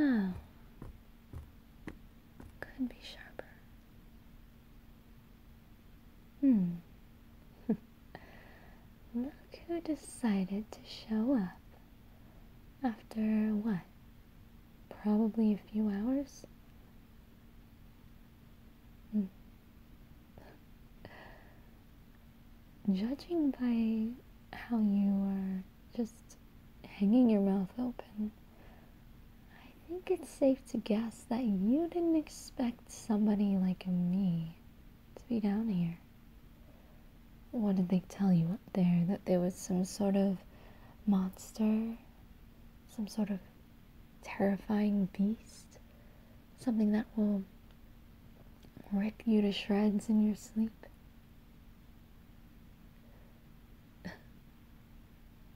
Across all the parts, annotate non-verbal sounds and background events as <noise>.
Oh. Could be sharper. Hmm. <laughs> Look who decided to show up. After what? Probably a few hours? Hmm. <laughs> Judging by how you are just hanging your mouth open, I think it's safe to guess that you didn't expect somebody like me to be down here. What did they tell you up there? That there was some sort of monster? Some sort of terrifying beast? Something that will rip you to shreds in your sleep? <laughs>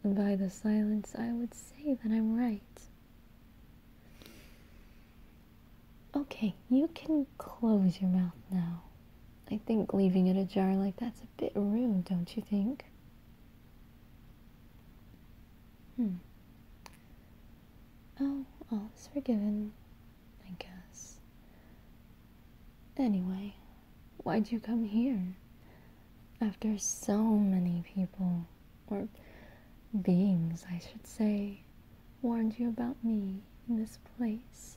By the silence, I would say that I'm right. Okay, you can close your mouth now. I think leaving it ajar like that's a bit rude, don't you think? Hmm. Oh, all is forgiven, I guess. Anyway, why'd you come here? After so many people or beings, I should say, warned you about me in this place,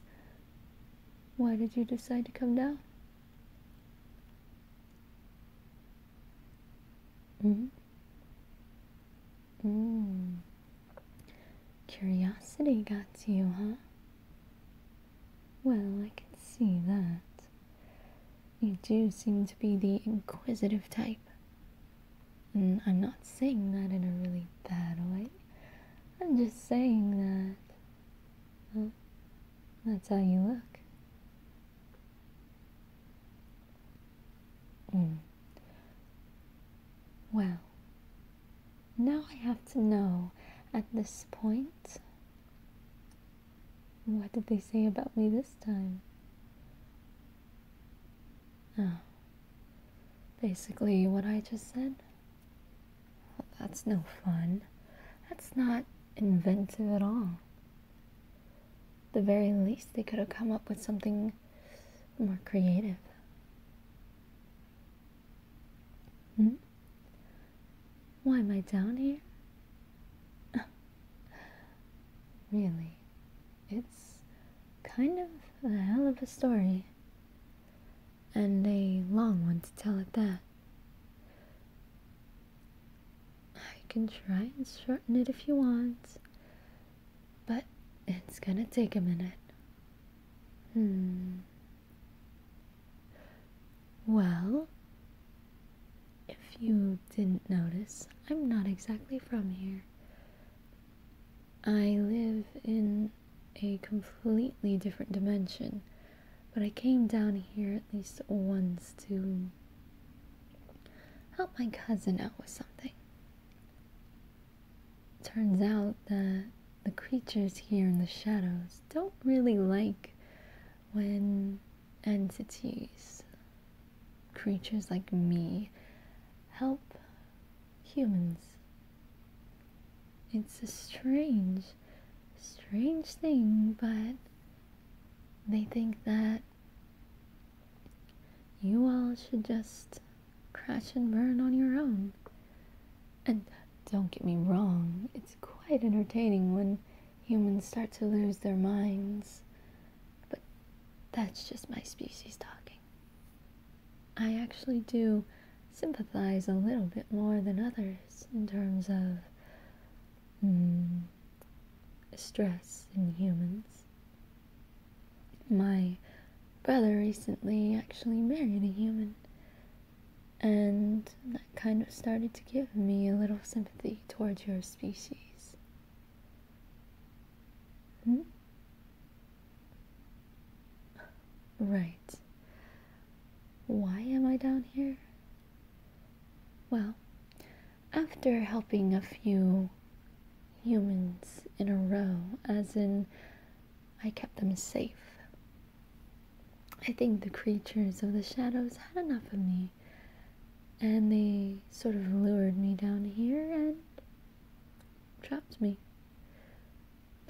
why did you decide to come down? Mm. Curiosity got to you, huh? Well, I can see that. You do seem to be the inquisitive type. I'm not saying that in a really bad way. I'm just saying that that's how you look. Hmm. Well, now I have to know at this point what did they say about me this time? Oh. Basically, what I just said? that's no fun. That's not inventive at all. The very least, they could have come up with something more creative. Hmm? Why am I down here? <laughs> really, it it's kind of a hell of a story, and a long one to tell at that. I can try and shorten it if you want, but it's gonna take a minute. Hmm. Well, if you didn't notice, I'm not exactly from here. I live in a completely different dimension, but I came down here at least once to help my cousin out with something. Turns out that the creatures here in the shadows don't really like when entities creatures like me help humans. It's a strange, strange thing, but they think that you all should just crash and burn on your own. And don't get me wrong, it's quite entertaining when humans start to lose their minds but that's just my species talking. I actually do sympathize a little bit more than others in terms of mm, stress in humans. My brother recently actually married a human, and that kind of started to give me a little sympathy towards your species. Hmm? Right. Why am I down here? Well, after helping a few humans in a row, as in I kept them safe, I think the creatures of the shadows had enough of me and they sort of lured me down here and trapped me.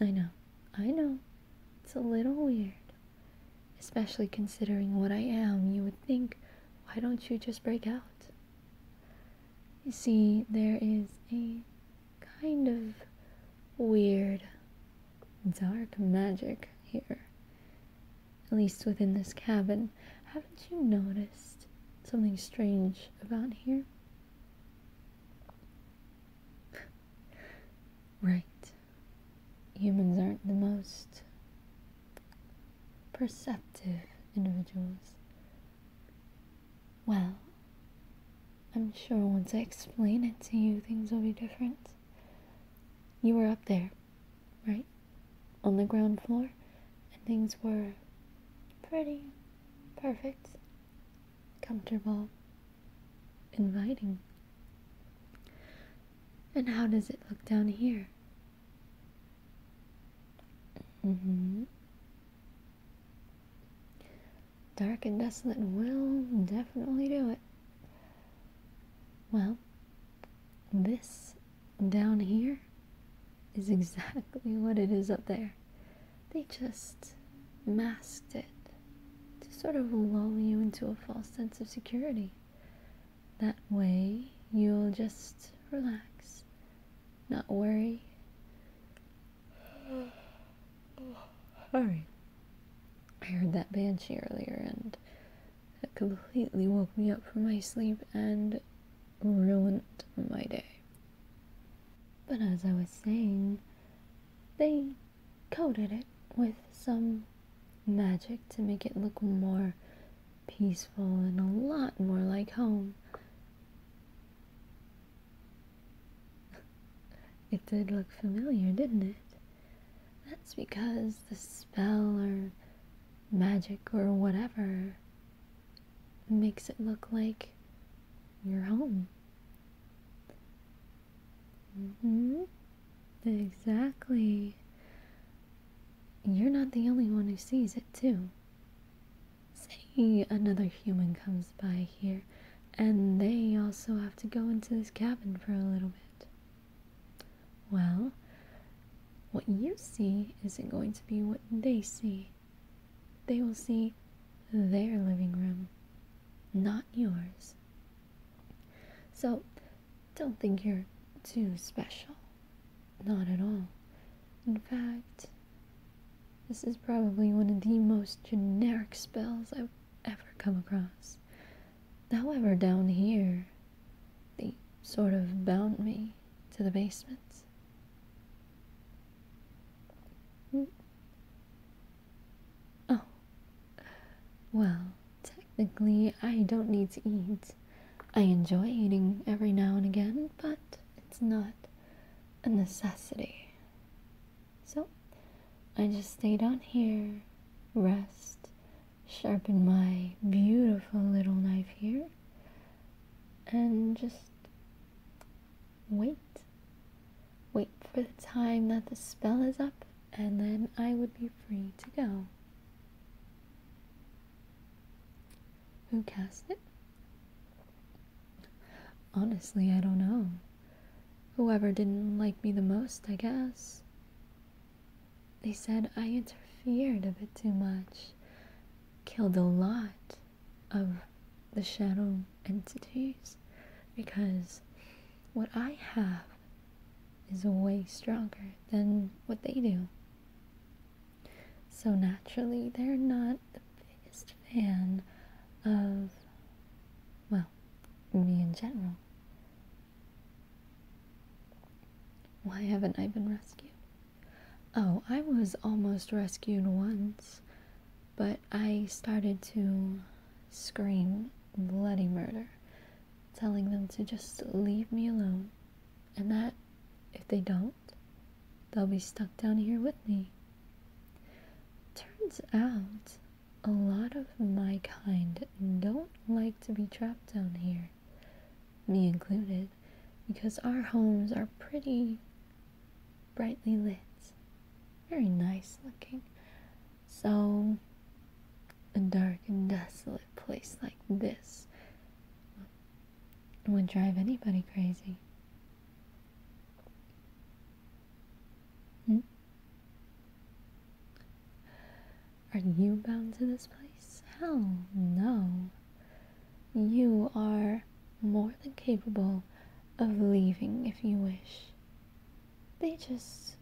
I know, I know, it's a little weird. Especially considering what I am, you would think, why don't you just break out? You see, there is a kind of weird, dark magic here, at least within this cabin haven't you noticed something strange about here? right. Humans aren't the most perceptive individuals. Well, I'm sure once I explain it to you, things will be different. You were up there, right? on the ground floor, and things were pretty perfect, comfortable, inviting. And how does it look down here? Mm-hmm. Dark and desolate will definitely do it. Well, this down here is exactly what it is up there. They just masked it to sort of lull you into a false sense of security. That way, you'll just relax, not worry. <sighs> Alright. I heard that banshee earlier and it completely woke me up from my sleep and ruined my day. But as I was saying, they coated it with some magic to make it look more peaceful and a lot more like home. <laughs> It did look familiar, didn't it? That's because the spell or magic or whatever makes it look like your home. Mm hmm. Exactly. You're not the only one who sees it, too. Say another human comes by here, and they also have to go into this cabin for a little bit. Well, what you see isn't going to be what they see. They will see their living room, not yours. So don't think you're too special. Not at all. In fact, this is probably one of the most generic spells I've ever come across. However, down here, they sort of bound me to the basements. Hmm. Oh, well, technically, I don't need to eat. I enjoy eating every now and again, but it's not a necessity. So, I just stay down here, rest, sharpen my beautiful little knife here, and just wait. Wait for the time that the spell is up, and then I would be free to go. Who cast it? Honestly, I don't know. Whoever didn't like me the most, I guess. They said I interfered a bit too much, killed a lot of the shadow entities because what I have is way stronger than what they do. So naturally, they're not the biggest fan of, well, me in general. Why haven't I been rescued? Oh, I was almost rescued once, but I started to scream bloody murder, telling them to just leave me alone, and that if they don't, they'll be stuck down here with me. Turns out, a lot of my kind don't like to be trapped down here me included, because our homes are pretty brightly lit, very nice looking. So, a dark and desolate place like this would drive anybody crazy. Hmm? Are you bound to this place? Hell no you are more than capable of leaving if you wish. They just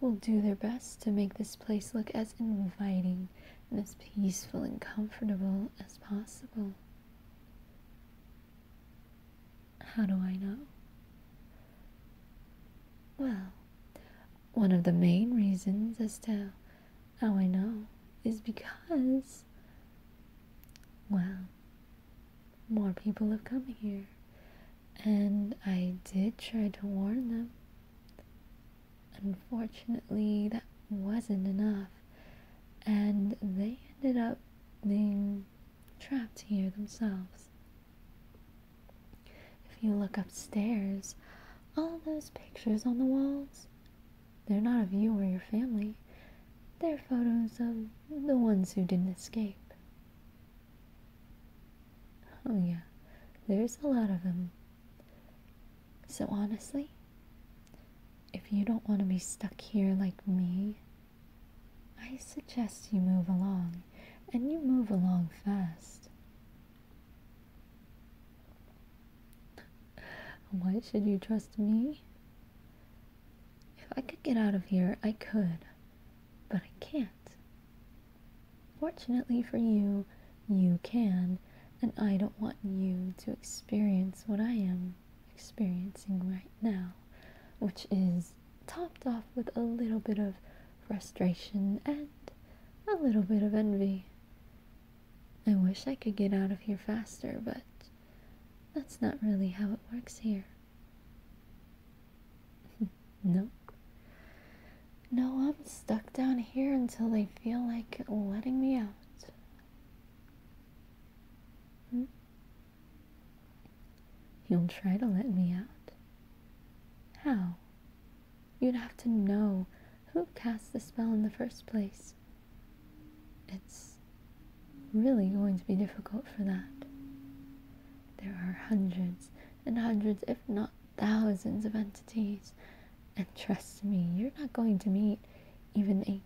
will do their best to make this place look as inviting and as peaceful and comfortable as possible. How do I know? Well, one of the main reasons is to how oh, I know is because, well, more people have come here. And I did try to warn them. Unfortunately, that wasn't enough. And they ended up being trapped here themselves. If you look upstairs, all those pictures on the walls they're not of you or your family. They're photos of the ones who didn't escape. Oh, yeah, there's a lot of them. So, honestly, if you don't want to be stuck here like me, I suggest you move along, and you move along fast. Why should you trust me? If I could get out of here, I could, but I can't. Fortunately for you, you can, and I don't want you to experience what I am experiencing right now, which is topped off with a little bit of frustration and a little bit of envy. I wish I could get out of here faster, but that's not really how it works here. <laughs> no. No, I'm stuck down here until they feel like letting me out. Hmm? You'll try to let me out. How? You'd have to know who cast the spell in the first place it's really going to be difficult for that. There are hundreds and hundreds, if not thousands, of entities, and trust me, you're not going to meet even a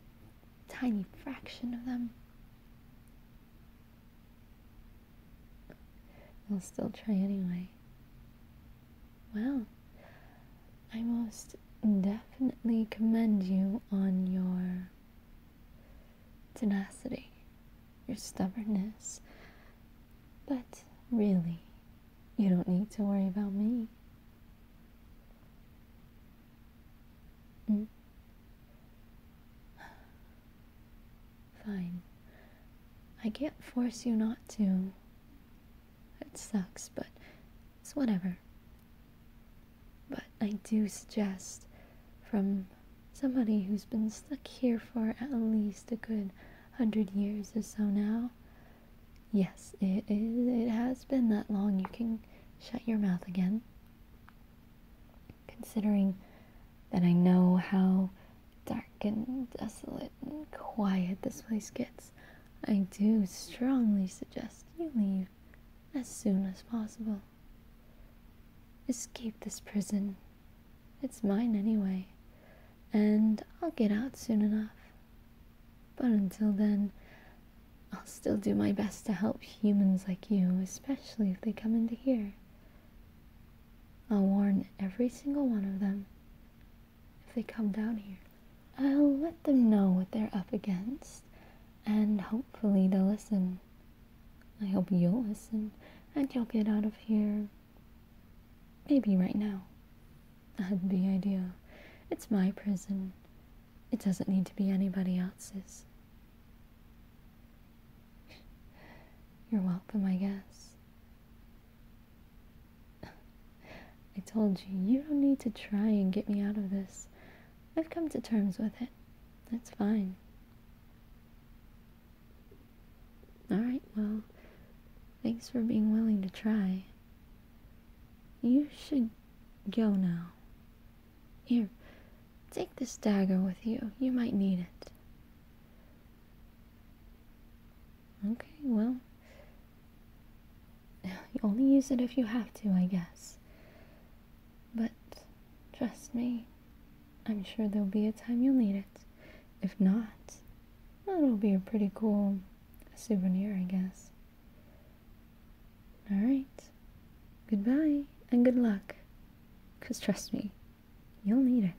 tiny fraction of them. i will still try anyway. Well, I most definitely commend you on your tenacity, your stubbornness. But really, you don't need to worry about me. Mm. <sighs> Fine. I can't force you not to. It sucks, but it's whatever. But I do suggest from somebody who's been stuck here for at least a good hundred years or so now. Yes, it, it has been that long. You can shut your mouth again. Considering that I know how dark and desolate and quiet this place gets. I do strongly suggest you leave as soon as possible. Escape this prison. It's mine anyway, and I'll get out soon enough. But until then, I'll still do my best to help humans like you, especially if they come into here. I'll warn every single one of them if they come down here. I'll let them know what they're up against, and hopefully they'll listen. I hope you'll listen, and you'll get out of here. Maybe right now. That'd be ideal. It's my prison. It doesn't need to be anybody else's. You're welcome, I guess. I told you, you don't need to try and get me out of this. I've come to terms with it. That's fine. Alright, well, thanks for being willing to try. You should go now. Here, take this dagger with you. You might need it. Okay, well, <laughs> you only use it if you have to, I guess. But trust me, I'm sure there'll be a time you'll need it. If not, it'll be a pretty cool souvenir, I guess. Alright, goodbye and good luck. Because trust me, you'll need it.